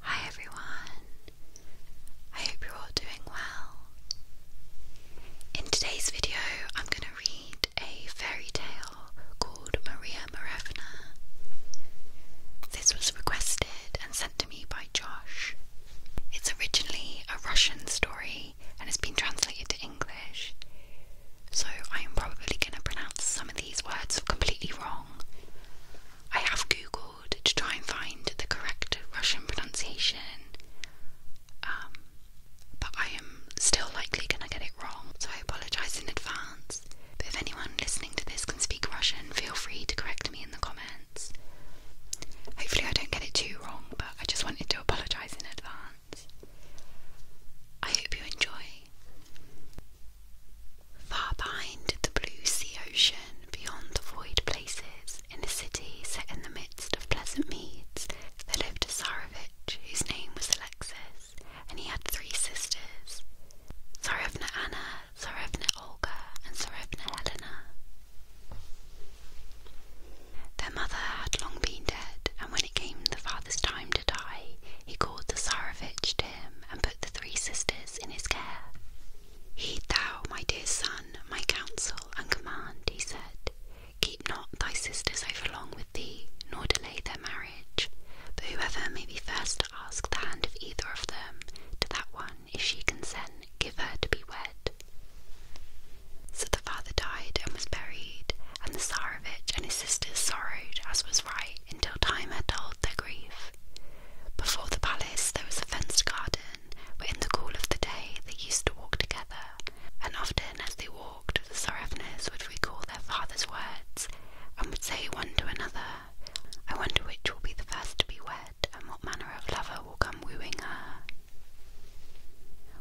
Hi everyone, I hope you're all doing well. In today's video, I'm going to read a fairy tale called Maria Marevna. This was requested and sent to me by Josh. It's originally a Russian story and it's been translated to English, so I am probably going to pronounce some of these words completely wrong. I have Googled to try and find the correct Russian pronunciation. Um, but I am still likely gonna get it wrong, so I apologise in advance. But if anyone listening to this can speak Russian, feel free to correct me in the comments. Hopefully, I don't get it too wrong, but I just wanted to apologise in advance. I hope you enjoy. Far behind the blue sea ocean, beyond the void places, in a city set in the midst of pleasant meads, there lived a Tsarevich whose name was Alexis, and he had three sisters Tsarevna Anna, Tsarevna Olga, and Tsarevna Helena. Their mother had long been dead, and when it came the father's time to die, he called the Tsarevich to and put the three sisters in his care. Heed thou, my dear son, my counsel and command, he said. Keep not thy sisters overlong with thee, nor delay their marriage. But whoever may be first to ask the hand of either of them, to that one, if she consent, give her to be wed. So the father died and was buried, and the Tsarevich and his sisters sorrowed, as was right, until time had told their grief. Before the palace there was a fenced garden, where in the cool of the day they used to walk together, and often as they walked the Sorevnas would recall their father's words, and would say one to another, I wonder which will be the first to be wed, and what manner of lover will come wooing her.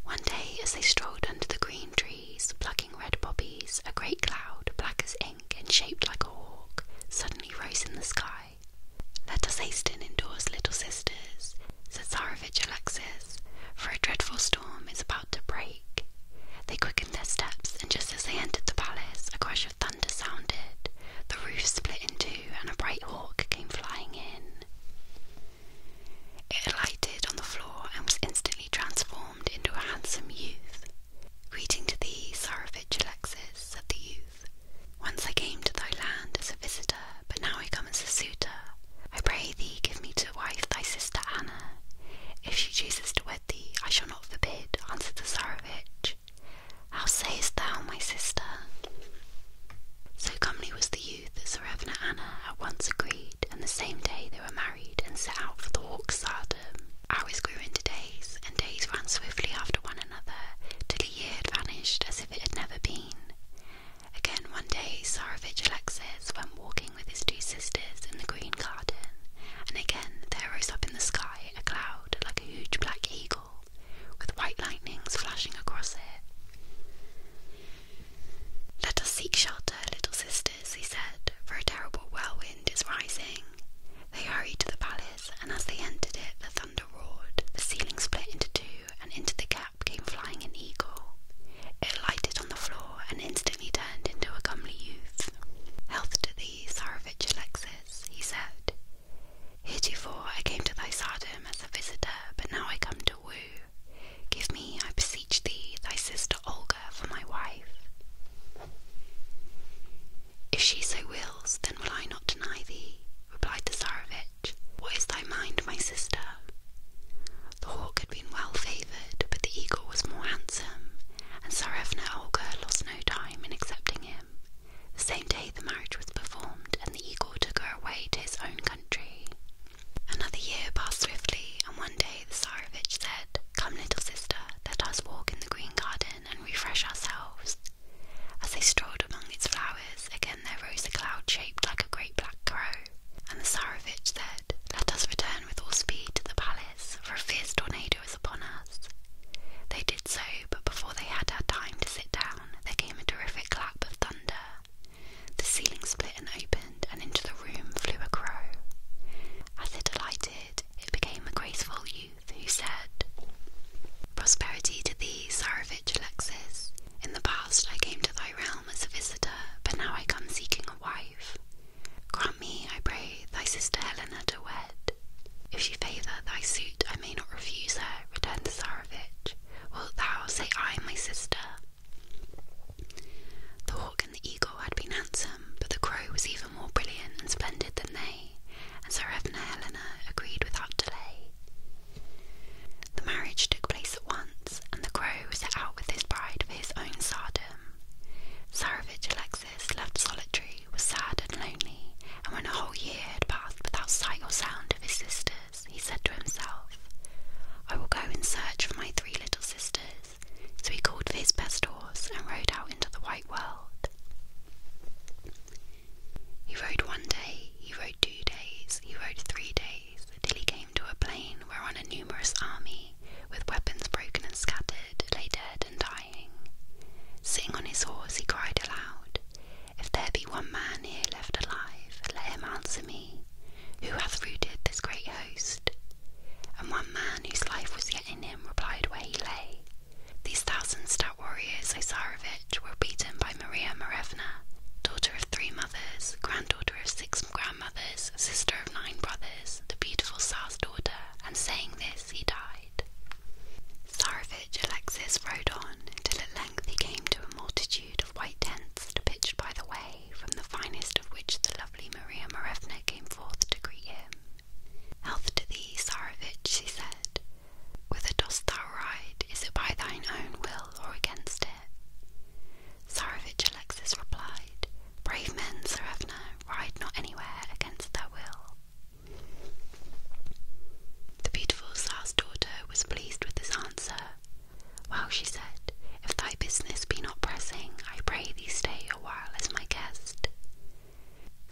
One day, as they strolled under the green trees, plucking red poppies, a great cloud, black as ink and shaped like a hawk, suddenly rose in the sky. Let us hasten indoors, little sisters, said Tsarevich Alexis, for a dreadful storm is about to break. They quickened their steps, and just as they entered the palace, a crash of thunder sounded. The roof split in two, and a bright hawk came flying in. It alighted on the floor and was instantly transformed into a handsome youth. Greeting to thee, Tsarevich Alexis, said the youth. Once I came to thy land as a visitor, but now I come as a suitor. I pray thee, give me to wife thy sister Anna. If she chooses to wed thee, I shall not forbid, answered the Tsarevich. How sayest thou, my sister? So comely was the youth that Tsarevna Anna at once agreed, and the same day they were married and set out for the walk stardom. Um, Hours grew into days, and days ran swiftly after one another till the year had vanished as if it had never been. Again one day Tsarevich Alexis went walking with his two sisters in the green garden, and again there rose up in the sky a cloud like a huge black eagle, with white lightnings flashing across it. Let us seek shelter, little sisters, he said, for a terrible whirlwind is rising, they hurried to the palace, and as they entered it, the thunder roared. The ceiling split into two, and into the gap came flying an eagle. It lighted on the floor and instantly turned into a comely youth. Health to thee, Tsarevich Alexis, he said. Heretofore I came to thy tsardom as a visitor, but now I come to woo. Give me, I beseech thee, thy sister Olga for my wife. If she so wills, then will I not deny thee, replied the Tsarevich. What is thy mind, my sister? The hawk had been well favoured, but the eagle was more handsome, and Tsarevna Olga lost no time in accepting him. The same day the marriage was performed, and the eagle took her away to his own country. Another year passed swiftly, and one day the Tsarevich said, Come, little sister, let us walk in the green garden and refresh ourselves. As they strolled among its flowers, again there rose a cloud shaped like a great black crow, and the Tsarevich said, Let us return with all speed to the palace, for a fierce tornado is upon us. They did so, but before they had had time to sit down, there came a terrific clap of thunder. The ceiling split and opened, and into the room flew a crow. As it alighted, it, became a graceful youth, who said, Prosperity to thee, Tsarevich Alexis. In the past I came to thy realm as a visitor, but now I come seeking a wife. Grant me, I pray, thy sister Helena to wed. If she favour thy suit, I may not refuse her, returned the Tsarevich. Wilt thou say I, am my sister? The hawk the eagle had been handsome, but the crow was even more brilliant and splendid than they, and Sarevna Helena agreed without delay. The marriage took place at once, and the crow set out with his bride for his own tsardom. Tsarevich Alexis, left solitary, was sad and lonely, and when a whole year had passed without sight or sound of his sisters, he said to himself, I will go in search for my three little sisters, so he called for his best horse and rode out into the white world. He rode one day, he rode two days, he rode three days, till he came to a plain whereon a numerous army, with weapons broken and scattered, lay dead and dying. Sitting on his horse, he cried aloud, If there be one man here left alive, let him answer me, who hath routed this great host? And one man whose life was the in him, replied where he lay. These thousand stout warriors, I Tsarevich, were beaten by Maria Marevna, daughter of three mothers, granddaughter of six grandmothers, sister of nine brothers, the beautiful Tsar's daughter, and saying this, he died. Tsarevich Alexis rode on until at length he came to a multitude of white tents pitched by the way, from the finest of which the lovely Maria Marevna came forth to greet him. Health to thee, Tsarevich, she said. Whither dost thou ride? Is it by thine own will or against it? Tsarevich Alexis replied, Brave men, Tsarevna, ride not anywhere against their will. The beautiful Tsar's daughter was pleased with this answer. Well, she said, if thy business be not pressing, I pray thee stay a while as my guest.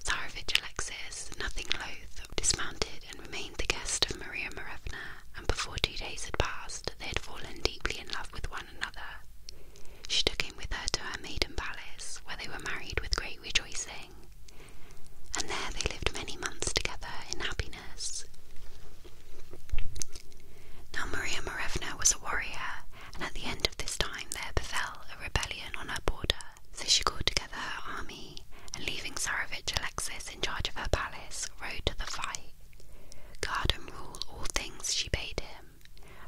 Tsarevich Alexis, nothing loth, dismounted and remained the guest of Maria Marevna, and before two days had passed, they had fallen deeply in love with one another. She took him with her to her maiden palace, where they were married with great rejoicing, and there they lived many months together in happiness. Now Maria Marevna was a warrior, and at the end of this time there befell a rebellion on her border. So she called together her army, and leaving Tsarevich Alexis in charge of her palace, rode to the fight. Guard and rule all things, she bade him.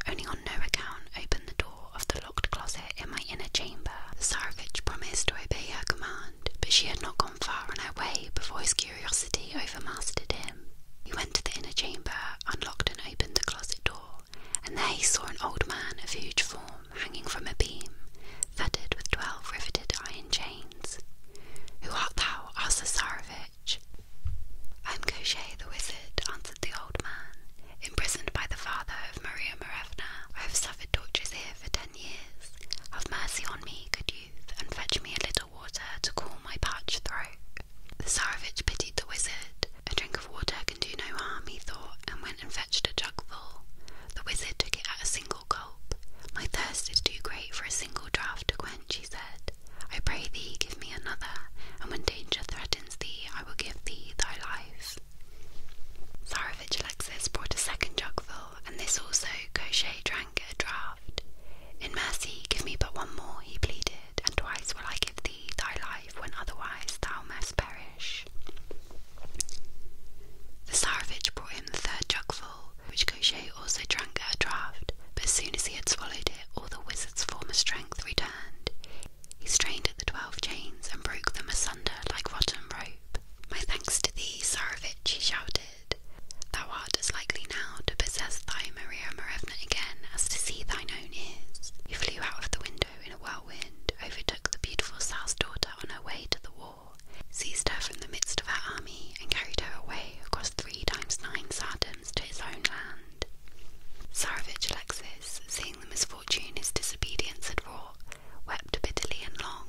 Only on no account open the door of the locked closet in my inner chamber. The Tsarevich promised to obey her command, but she had not gone far on her way before his curiosity overmastered him. He went to the inner chamber unlocked and opened the closet door, and there he saw an old man of huge form hanging from a beam, fettered with twelve riveted iron chains. Who art thou? asked Cesarevich. I am Koshchei the wizard, answered the old man, imprisoned by the father of Maria Marevna. I have suffered tortures here for ten years. Have mercy on me, good youth, and fetch me a little." water to cool my parched throat. The Tsarevich pitied the wizard. A drink of water can do no harm, he thought, and went and fetched a jugful. The wizard took it at a single gulp. My thirst is too great for a single draught to quench, he said. I pray thee, give me another, and when danger threatens thee, I will give thee thy life. Tsarevich Alexis brought a second jugful, and this also Koshchei drank a draught. In mercy, give me but one more, he pleaded, and twice will I give thee thy life when otherwise thou must perish. The Tsarevich brought him the third jugful, which Koshchei also drank a draught, but as soon as he had swallowed it, all the wizard's former strength returned. He strained at the twelve chains and broke them asunder like rotten rope. My thanks to thee, Tsarevich, he shouted. Thou art as likely now to possess thy Maria Marevna again as to see thine own ears. He flew out of the window in a whirlwind, overtook the beautiful Tsar's daughter on her way to the war, seized her from the midst of her army, and carried her away across three times nine sardoms to his own land. Tsarevich Alexis, seeing the misfortune his disobedience had wrought, wept bitterly and long.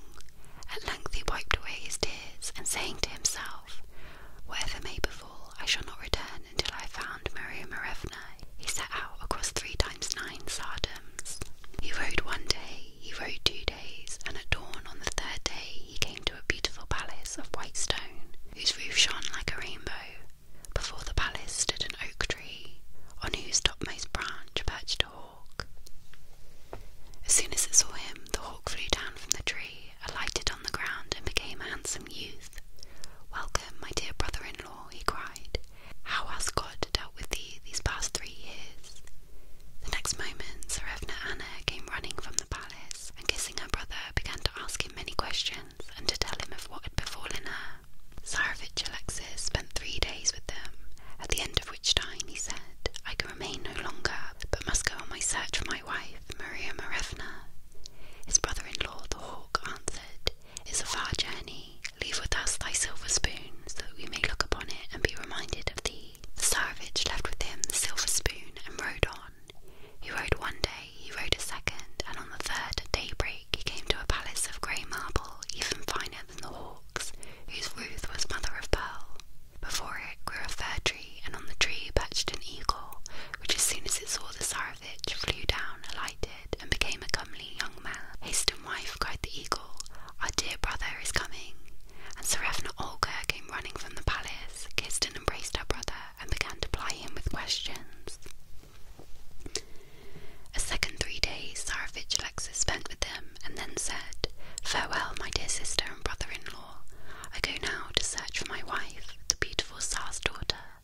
At length he wiped away his tears, and saying to himself, Whatever may befall I shall not return until I have found Maria Marevna. He set out across three times nine sardoms. He rode one day, he rode two days, and at dawn on the third day he came to a beautiful palace of white stone, whose roof shone like a rainbow. Before the palace stood an oak tree, on whose topmost branch perched a hawk. As soon as it saw him, the hawk flew down from the tree alighted on the ground and became a handsome youth. Welcome, my dear brother in law, he cried. How has God dealt with thee these past three years? The next moment, Sarevna Anna came running from the palace, and kissing her brother, began to ask him many questions and to tell him of what had befallen her. Tsarevich Alexis spent three days with them, at the end of which time he said, I can remain no longer, but must go on my search for my wife, Maria Marevna. His brother-in-law, the hawk, answered, It's a far journey. Leave with us thy silver spoon, so that we may look upon it and be reminded of thee. The Tsarevich left with him the silver spoon and rode on. He rode one day, he rode a second, and on the third daybreak he came to a palace of grey marble, even finer than the hawk's, whose roof was mother of pearl. Before it grew a fir tree, and on the tree perched an eagle, which as soon as it saw the Tsarevich flew down, alighted, and became a comely young man. Haste and wife, cried the eagle, our dear brother is coming. And Tsarevna Olga came running from the palace, kissed and embraced her brother, and began to ply him with questions. A second three days Tsarevich Alexis spent with them, and then said, Farewell, my dear sister and brother in law I go now to search for my wife, the beautiful Tsar's daughter.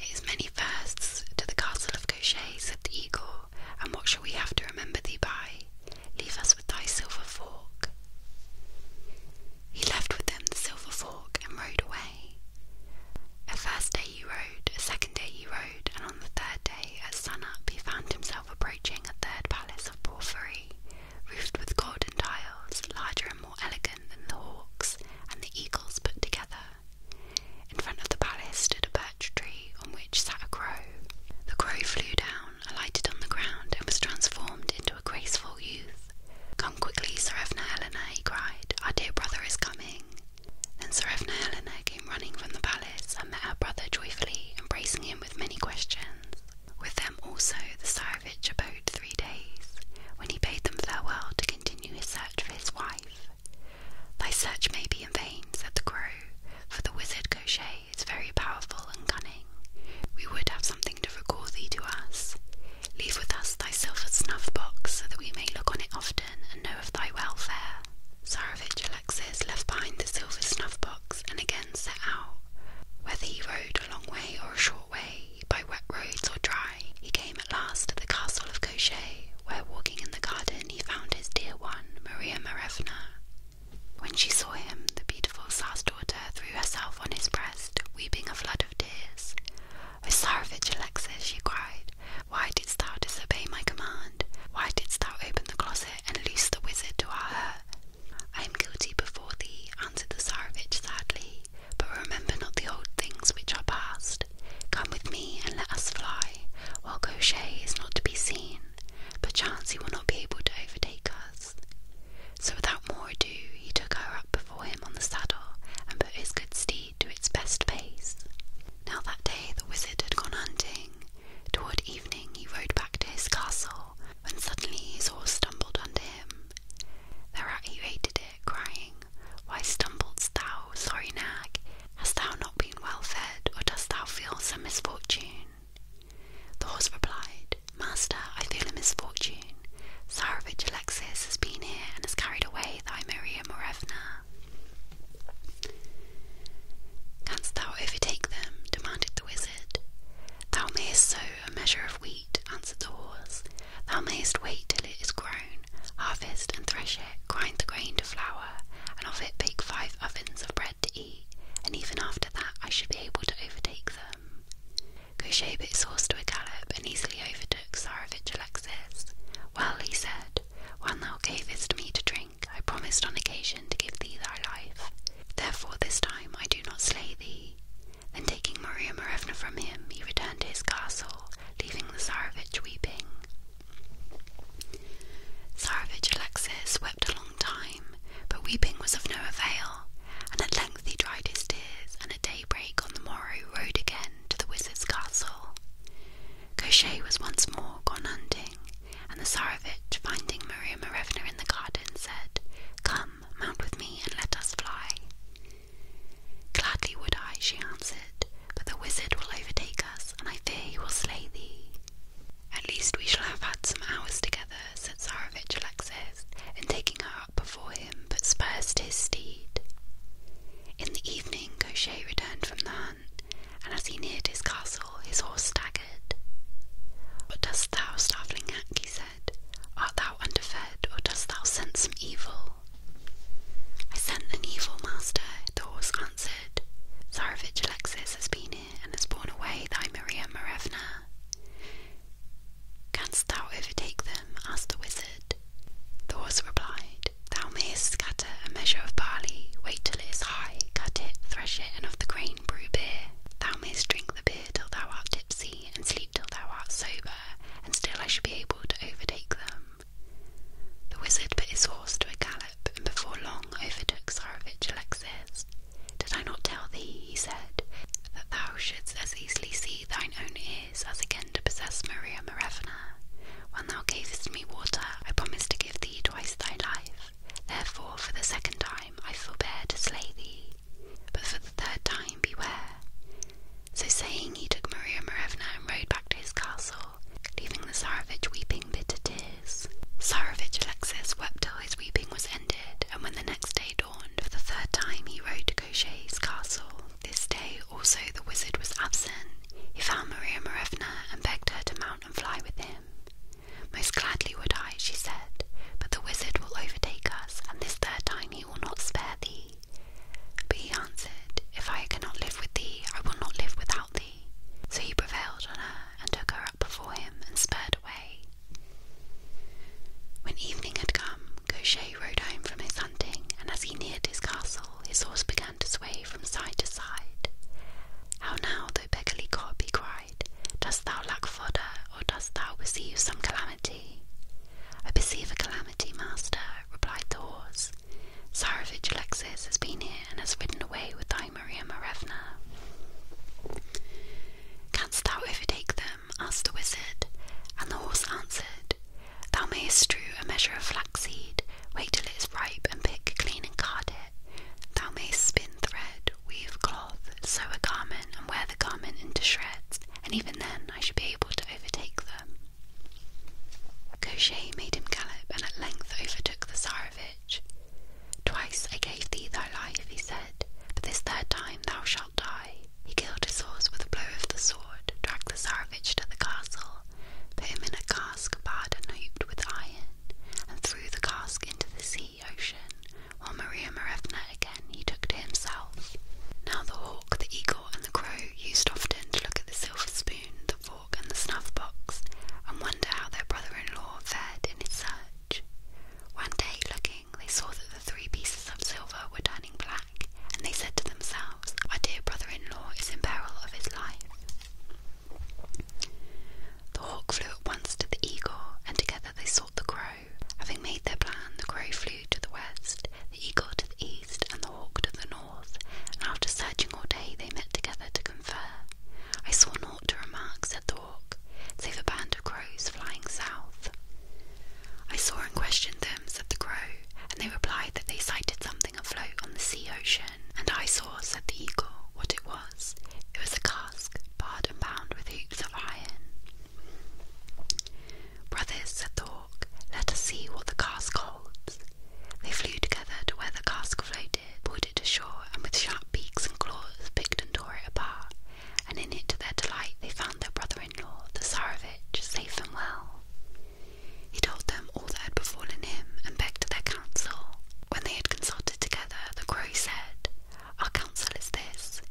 It is many firsts to the castle of Gaucher, said the eagle, and what shall we have to remember thee by? Leave us with thy silver fork. He left with them the silver fork and rode away. A first day he rode, a second day he rode, and on the third day at sun up he found himself approaching a third palace of Porphyry, roofed with golden tiles, larger and more elegant than the hawks and the eagles put together. In front of the palace stood a birch tree on which sat a crow. The crow flew down, alighted on the ground, and was transformed into a graceful youth. Come quickly, Sir Evna Helena, he cried. Our dear brother is coming. Then Sir Evna Helena came running from the palace and met her brother joyfully, embracing him with many questions. With them also the Tsarevich abode three days, when he bade them farewell to continue his search for his wife. Thy search may be in vain, said the crow, for the wizard Koshchei is very powerful and cunning. We would have something to recall thee to us. Leave with us thy silver snuff box, so that we may look on it often and know of thy welfare. Tsarevich Alexis left behind the silver snuff box and again set out. Whether he rode a long way or a short way, by wet roads or dry, he came at last to the castle of Koshchei, where walking in the garden he found his dear one, Maria Marevna. When she saw him, the beautiful Tsar's daughter threw herself on his breast, weeping a flood of tears. O Tsarevich Alexis, she cried, why didst thou disobey my command? Why didst thou open the closet and loose the wizard to our hurt? I am guilty before thee, answered the Tsarevich sadly, but remember not the old things which are past. Come with me and let us fly, while Koshchei is not to be seen. Perchance he will not be able to overtake us. So without more ado, he took her up before him on the saddle, and put his good steed to its best pace. Now that day the wizard had gone hunting. Toward evening he rode back to his castle, when suddenly his horse stumbled under him. Thereat he hated it, crying, Why stumblest thou, sorry nag? Hast thou not been well fed, or dost thou feel some misfortune? The horse replied, Master, I feel a misfortune. Tsarevich Alexis has been here and has carried away thy Maria Morevna. Canst thou overtake them? demanded the wizard. Thou mayest sow a measure of wheat, answered the horse. Thou mayest wait till it is grown, harvest and thresh it, grind the grain to flour, and of it bake five ovens of bread to eat, and even after that I should be able to overtake them. Kooshay bit his horse to a gallop and easily overtook Tsarevich Alexis. Well, he said, when thou gavest me to drink, I promised on occasion to give thee thy life. Therefore this time I do not slay thee. Then taking Maria Marevna from him, he returned to his castle, leaving the Tsarevich weeping. Tsarevich Alexis wept a long time, but weeping was of no avail, and at length he dried his tears, and at daybreak on the morrow rode again to the wizard's castle. Koshchei was once more gone hunting, and the Tsarevich, finding Maria Marevna in the garden, said, Come, mount with me and let us fly. Gladly would I, she answered, but the wizard will overtake us, and I fear he will slay thee. At least we shall have had some hours together, said Tsarevich Alexis, and taking her up before him, put spurs his steed. In the evening, Koshchei returned from the hunt, and as he neared his castle, his horse staggered. What dost thou, starveling he said, art thou underfed, or dost thou scent some evil? I scent an evil, master, the horse answered. Tsarevich Alexis has been here and has borne away thy Maria Marevna. Canst thou overtake them? asked the wizard. The horse replied, Thou mayest scatter a measure of barley, wait till it is high, cut it, thresh it, and of the grain brew beer. Thou mayst drink the beer till thou art tipsy, and sleep till thou art sober, and still I shall be able to overtake them. The wizard put his horse to a gallop, and before long overtook Tsarevich Alexis. Did I not tell thee, he said, that thou shouldst as easily see thine own ears as again to possess Maria Marevna? When thou gavest me water, I promised to give thee twice thy life. Therefore, for the second time I forbear to slay thee, but for the third time beware. So saying, he took Maria Morevna and rode back to his castle, leaving the Tsarevich weeping bitter tears. Tsarevich Alexis wept till his weeping was ended, and when the next day dawned, for the third time he rode to Koshchei's castle. This day also the wizard was absent. He found Maria Morevna and begged her to mount and fly with him. Most gladly would I, she said, but the wizard will overtake us, and this third time he will not spare thee. But he answered, If I cannot live with thee, I will not live without thee. So he prevailed on her, and took her up before him, and spurred away. When evening had come, Koshchei rode home from his hunting, and as he neared his castle, his horse began to sway from side to side. How now, thou beggarly cop, he cried. Dost thou lack fodder, or dost thou perceive some calamity? I perceive a calamity, master, replied the horse. Tsarevich Alexis has been here and has ridden away with thy Maria Marevna. Canst thou overtake them? asked the wizard, and the horse answered, Thou mayest strew a measure of flaxseed, wait till it is ripe, and pick clean and card it. Thou mayst spin thread, weave cloth, sew a garment, and wear the garment into shreds, and even then I should be able to overtake them. Koshchei made him gallop, and at length overtook the Tsarevich. Twice I gave thee thy life, he said, but this third time thou shalt die. He killed his horse with a blow of the sword, dragged the Tsarevich to the castle, put him in a cask barred and hooped with iron, and threw the cask into the sea ocean, while Maria Marevna again he took to himself. Now the hawk, the eagle, and the crow used often to look at the silver spoon, the fork, and the snuff box, and wonder how their brother-in-law fared in his search. One day, looking, they saw that the three pieces of silver were turning black, and they said to themselves, Our dear brother-in-law is in peril of his life. The hawk flew at once to the eagle, and together they sought the crow. Having made their plan, the crow flew to the west, the eagle to the east, and the hawk to the north, and after searching all day they met together to confer. I saw naught to remark, said the hawk, save a band of crows flying south. I saw and questioned them, said the crow, and they replied that they sighted something afloat on the sea ocean. And I saw, said the eagle, what it was, it was a cask, barred and bound with hoops of iron. Brothers, said the hawk, let us see what the cask holds. They flew together to where the cask floated, pulled it ashore, and with sharp beaks and claws picked and tore it apart. And in it, to their delight, they found their brother-in-law, the Tsarevich, safe and well. He told them all that had befallen him and begged their counsel. When they had consulted together, the crow said, Our counsel is this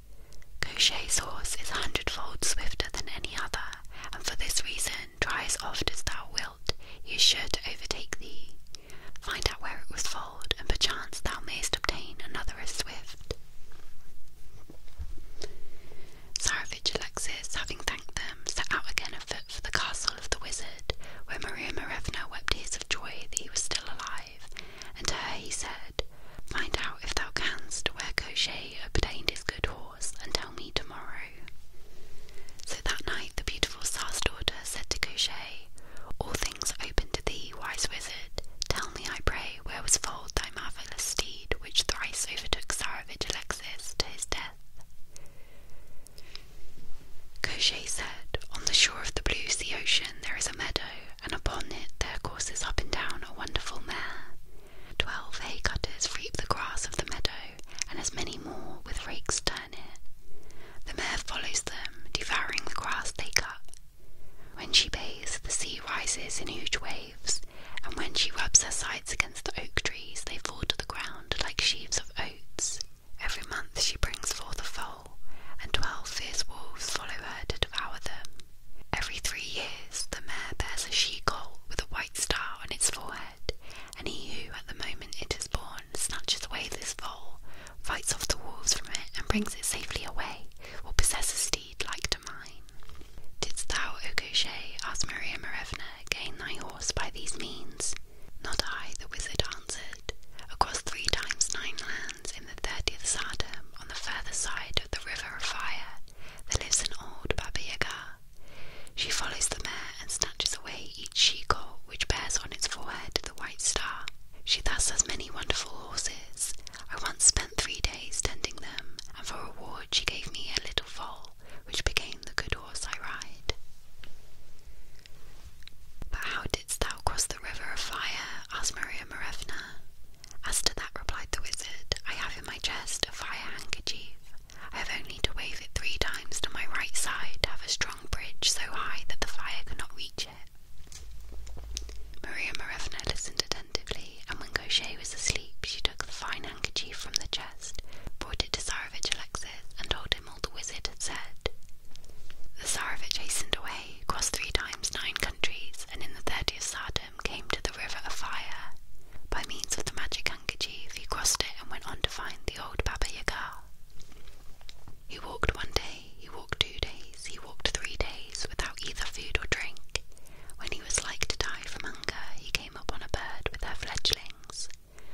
Koshay's horse is a hundredfold swifter than any other, and for this reason, try as oft as thou wilt, he is sure to overtake thee. Find out where it was foaled, and perchance thou mayst obtain another as swift. Tsarevich Alexis, having thanked them, set out again Frankfurt for the castle of the wizard, where Maria Marevna wept tears of joy that he was still alive, and to her he said, Find out, if thou canst, where Koshchei obtained his good horse, and tell me tomorrow. So that night the beautiful Tsar's daughter said to Koshchei, All things open to thee, wise wizard. Tell me, I pray, where was foaled thy marvellous steed, which thrice overtook Tsarevich Alexis to his death? Koshé said, On the shore of the blue sea ocean there is a meadow, and upon it there courses up and down a wonderful mare. Twelve hay cutters reap the grass of the meadow, and as many more with rakes turn it. The mare follows them, devouring the grass they cut. When she bathes, the sea rises in huge waves, and when she rubs her sides against the oak trees, they fall to the ground like sheaves of oats. Every month she brings forth a foal, and twelve fierce wolves follow her to devour them. Every three years the mare bears a she-colt with a white star on its forehead, and he who at the moment it is born snatches away this foal, fights off the wolves from it, and brings it safely away, will possess a steed like to mine. Didst thou, O Koshchei, asked Maria Marevna, gain thy horse by these means? Not I, the wizard across three times nine lands in the thirtieth Sardom, on the further side of the River of Fire, there lives an old Baba She follows the mare and snatches away each she which bears on its forehead the white star. She thus has many wonderful horses. I once spent three days tending them, and for reward she gave me a little foal, which became the good horse I ride. But how didst thou cross the river of fire? asked Maria Marevna. As to that, replied the wizard, I have in my chest a fire handkerchief. I have only to wave it three times to my right side to have a strong bridge so high that the fire cannot reach it. Maria Marevna listened attentively, and when Gaucher was asleep, she took the fine handkerchief from the chest, brought it to Tsarevich Alexis, and told him the wizard had said. The Tsarevich hastened away, crossed three times nine countries, and in the thirtieth Tsardom came to the river of fire. By means of the magic handkerchief, he crossed it and went on to find the old Baba Yaga. He walked one day, he walked two days, he walked three days without either food or drink. When he was like to die from hunger, he came upon a bird with her fledglings.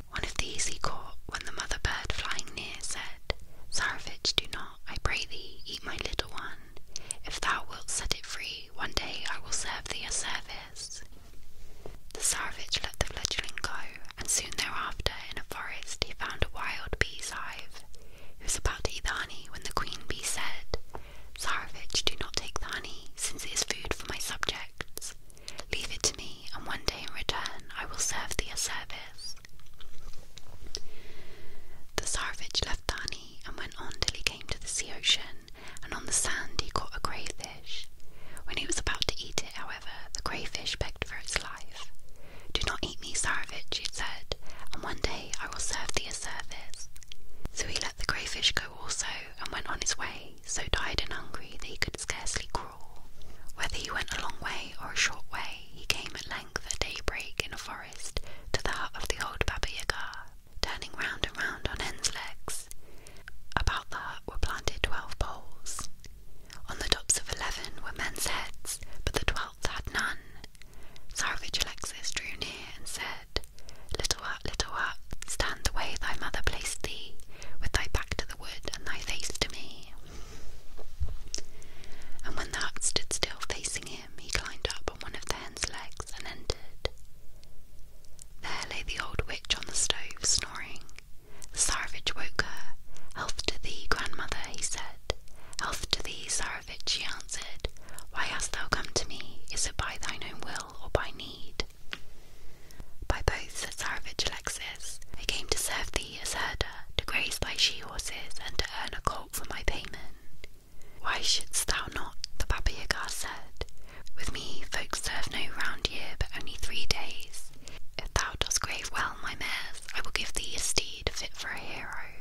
One of these he caught when the mother bird flying near said, Tsarevich, do not, I pray thee, eat my little one. If thou wilt set it free, one day I will serve thee a service. The Tsarevich let the fledgling go, and soon thereafter, in a forest, he found a wild bee's hive. He was about to eat the honey when the queen bee said, Tsarevich, do not take the honey, since it is food for my subjects. Leave it to me, and one day in return I will serve thee a service. The Tsarevich left Tani and went on till he came to the sea ocean, and on the sand he caught a crayfish. When he was about to eat it, however, the crayfish begged for its life. Do not eat me, Tsarevich, it said, and one day I will serve thee a service. So he let the crayfish go also, and went on his way, so tired and hungry that he could scarcely crawl. Whether he went a long way or a short way, he came at length at daybreak in a forest to the hut of the old Baba Yaga, turning round and round on hen's legs. About the hut were planted twelve poles. On the tops of eleven were men's heads, but the twelfth had none. Tsarevich Alexis drew near and said, Little hut, little hut, stand away, thy mother placed thee, with thy back to the and thy face to me. And when the hut stood still facing him, he climbed up on one of the hen's legs and entered. There lay the old witch on the stove, snoring. The Tsarevich woke her. Health to thee, grandmother, he said. Health to thee, Tsarevich, she answered. Why hast thou come to me? Is it by thine own will or by need? By both savage Alexis, I came to serve thee as herder, to graze thy she horses, and to earn a colt for my payment. Why shouldst thou not? The Baba Yaga said. With me folks serve no round year, but only three days. If thou dost graze well my mares, I will give thee a steed fit for a hero.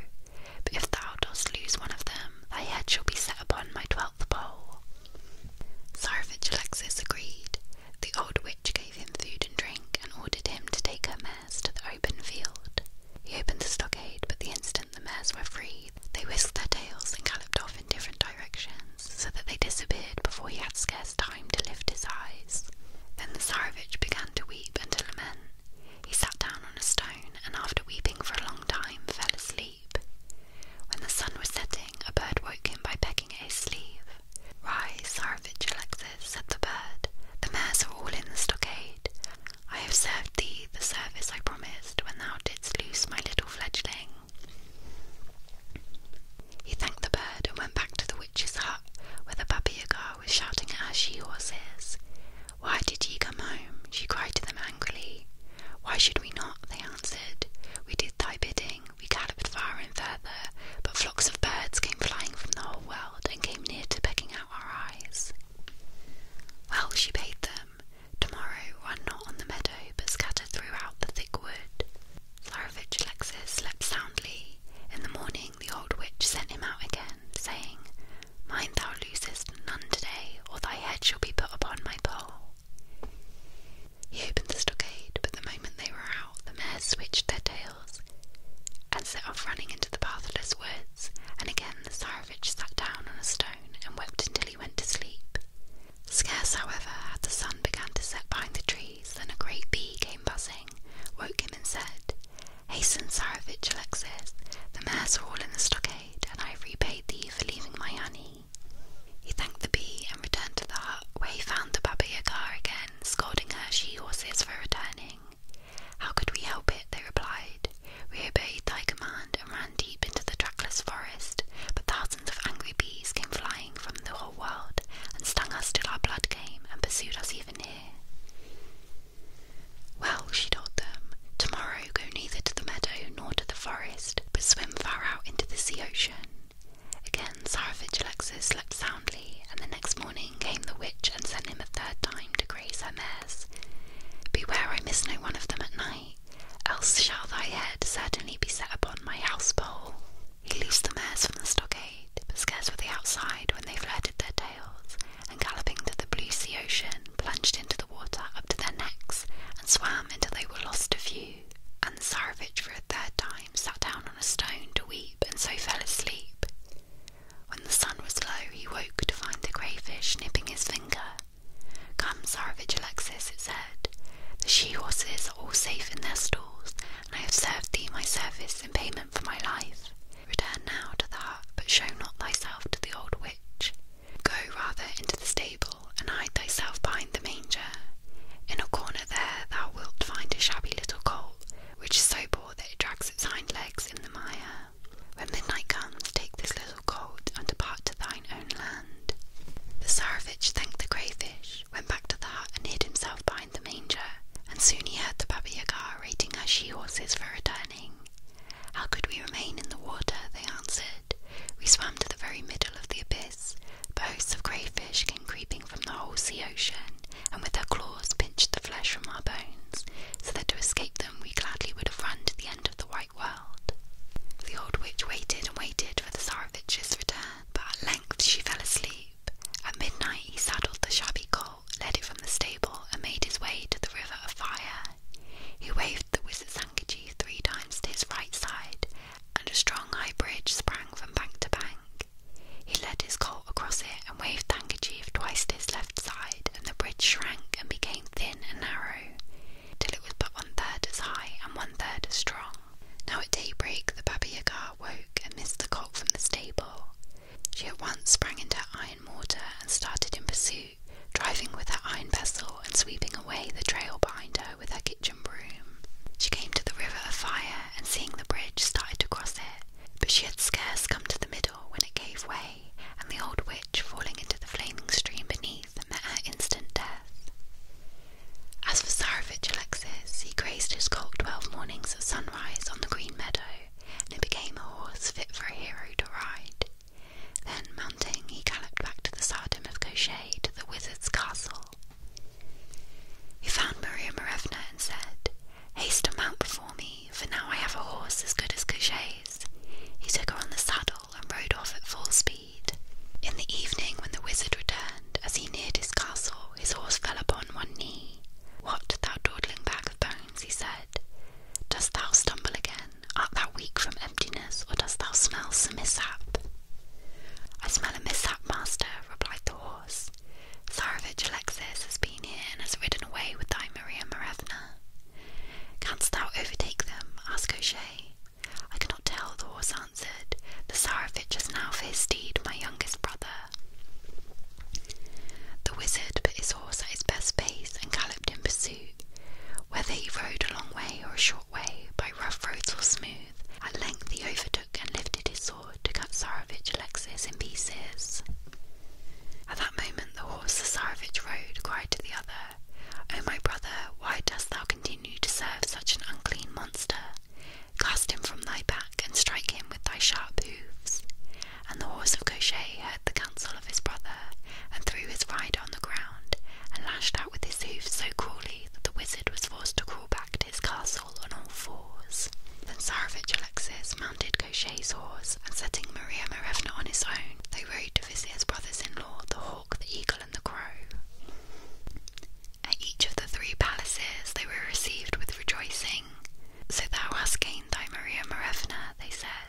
But if thou dost lose one of them, thy head shall be set upon my twelfth pole. Sarvajalaxis agreed. The old witch gave him food and drink and ordered him to take her mares to the open field. He opened the stockade, but the instant the mares were free, they whisked their tails and galloped off in different directions, so that they disappeared before he had scarce time to lift his eyes. Then the Tsarevich began to weep and to lament. He sat down on a stone, and after weeping for a long time, fell asleep. When the sun was setting, a bird woke him by pecking at his sleeve. Rise, Tsarevich Alexis, said the bird. The mares are all in the stockade. I have served thee the service I promised when thou didst loose my little fledgling. He thanked the bird and went back to the witch's hut, where the Baba Yaga was shouting at her she horses. Why did ye come home? she cried to them angrily. Why should we not? they answered. We did thy bidding, we galloped far and further, but flocks of birds came flying from the whole world and came near to pecking out our eyes. Well, she bade them, tomorrow run not on the meadow, but scatter throughout the thick wood. Florovitch Alexis slept soundly. In the morning the old witch sent him out again, saying, Mind thou losest none today, or thy head shall be put upon my pole. He opened the stockade, but the moment they were out, the mares switched their tails and set off running into the pathless woods, and again the Tsarevich sat down on a stone and wept until he went to sleep. Scarce, however, had the sun begun to set behind the trees than a great bee came buzzing, woke him and said, Hasten, Tsarevich Alexis, the mares are all in the stockade, and I have repaid thee for leaving my honey. He thanked the bee and returned to the hut, where he found the Baba again, scolding her she horses for returning. How could we help it? They replied. We obeyed thy command and ran deep into the trackless forest, but thousands of angry bees came flying from the whole world and stung us till our blood came and pursued us even here. Well, she told them, tomorrow go neither to the meadow nor to the forest, but swim far out into the sea ocean. Again Tsarevich Alexis slept soundly, and the next morning came the witch and sent him a third time to graze her mares. Beware I miss no one of them at night, else shall thy head certainly be set upon my house pole. He loosed the mares from the stockade, but scarce were they outside when they flirted their tails, and galloping to the blue sea ocean, plunged into the water up to their necks, and swam until they were lost to view and Tsarevich for a third time sat down on a stone to weep and so fell asleep. When the sun was low, he woke to find the crayfish nipping his finger. Come, Tsarevich Alexis, it said. The she-horses are all safe in their stalls, and I have served thee my service in payment for my life. Return now to the hut, but show not thyself to the old witch. Go rather into the stable and hide thyself behind the manger. In a corner there thou wilt find a shabby little colt, which is so poor that it drags its hind legs in the mire. When midnight comes, take this little colt and depart to thine own land. The Tsarevich thanked the crayfish, went back to the hut and hid himself behind the manger, and soon he heard the Baba Yaga rating her she horses for returning. How could we remain in the water? they answered we swam to the very middle of the abyss, but hosts of crayfish came creeping from the whole sea ocean, and with their claws pinched the flesh from our bones, so that to escape them we gladly would have run to the end of the white world. The old witch waited and waited for the Tsarevich's return, but at length she fell asleep. At midnight he saddled the shabby colt, led it from the stable, and made his way to the river of fire. He waved the wizard's handkerchief three times to his right side, and a strong high bridge sprang from bank to bank. He led his colt across it and waved the handkerchief twice to his left side, and the bridge shrank and became thin and narrow, till it was but one third as high and one third as strong. Now at daybreak the Baba Yaga woke and missed the cock from the stable. She at once sprang into her iron mortar and started in pursuit driving with her iron pestle and sweeping away the trail behind her with her kitchen broom. She came to the river of fire and seeing the bridge started to cross it, but she had scarce come to the middle when it gave way, and the old witch falling into the flaming stream beneath met her instant death. As for Tsarevich Alexis, he grazed his colt twelve mornings at sunrise on the green meadow, and it became a horse fit for a hero to ride. Then, mounting, he galloped back to the tsardom of Koshchei, to the wizard's castle. He found Maria Marevna and said, Haste and mount before me, for now I have a horse as good as Koshchei's. He took her on the saddle and rode off at full speed. In the evening, when the wizard returned, as he neared his castle, his horse fell upon one knee. What, thou dawdling bag of bones, he said, dost thou stumble again? Art thou weak from emptiness, or dost thou smell some mishap? I smell a mishap, master, replied the horse. Tsarevich Alexis has been here and has ridden away with thy Maria Marevna. Canst thou overtake them? asked O'Shea. I cannot tell, the horse answered. The Tsarevich is now for his steed my youngest brother. The wizard put his horse at his best pace and galloped in pursuit. Whether he rode a long way or a short way, by rough roads or smooth, at length he overtook and lifted his sword to cut Tsarevich Alexis in pieces. At that moment the horse the Tsarevich rode cried to the other, O my brother, why dost thou continue to serve such an unclean monster? Cast him from thy back and strike him with thy sharp hoofs. And the horse of Koshchei heard the counsel of his brother, and threw his rider on the ground, and lashed out with his hoofs so cruelly that the wizard was forced to crawl back to his castle on all fours. Then Tsarevich Alexis mounted Koshchei's horse, and setting Maria Marevna on his own, they rode to visit his brothers-in-law, the hawk, the eagle, and the crow. At each of the three palaces they were received with rejoicing. So thou hast gained thy Maria Marevna, they said.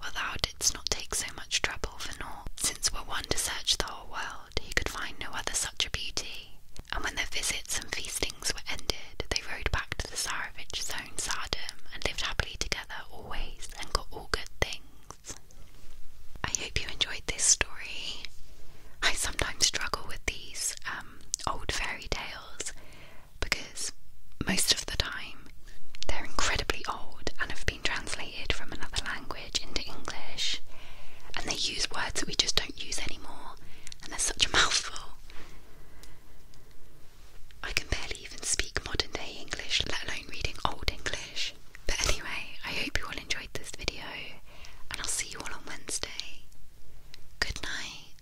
"Well, thou didst not take so much trouble for naught, since were one to search the whole world, he could find no other such a beauty." And when their visits and feastings were ended, they rode back to the Tsarevich's own tsardom and lived happily together always, and got all good things. I hope you enjoyed this story. I sometimes struggle with these um, old fairy tales because most of the time they're incredibly old and have been translated from another language into English, and they use words that we just don't use anymore, and they're such a mouthful. I can barely even speak modern day English, let alone reading old English. But anyway, I hope you all enjoyed this video, and I'll see you all on Wednesday. Good night.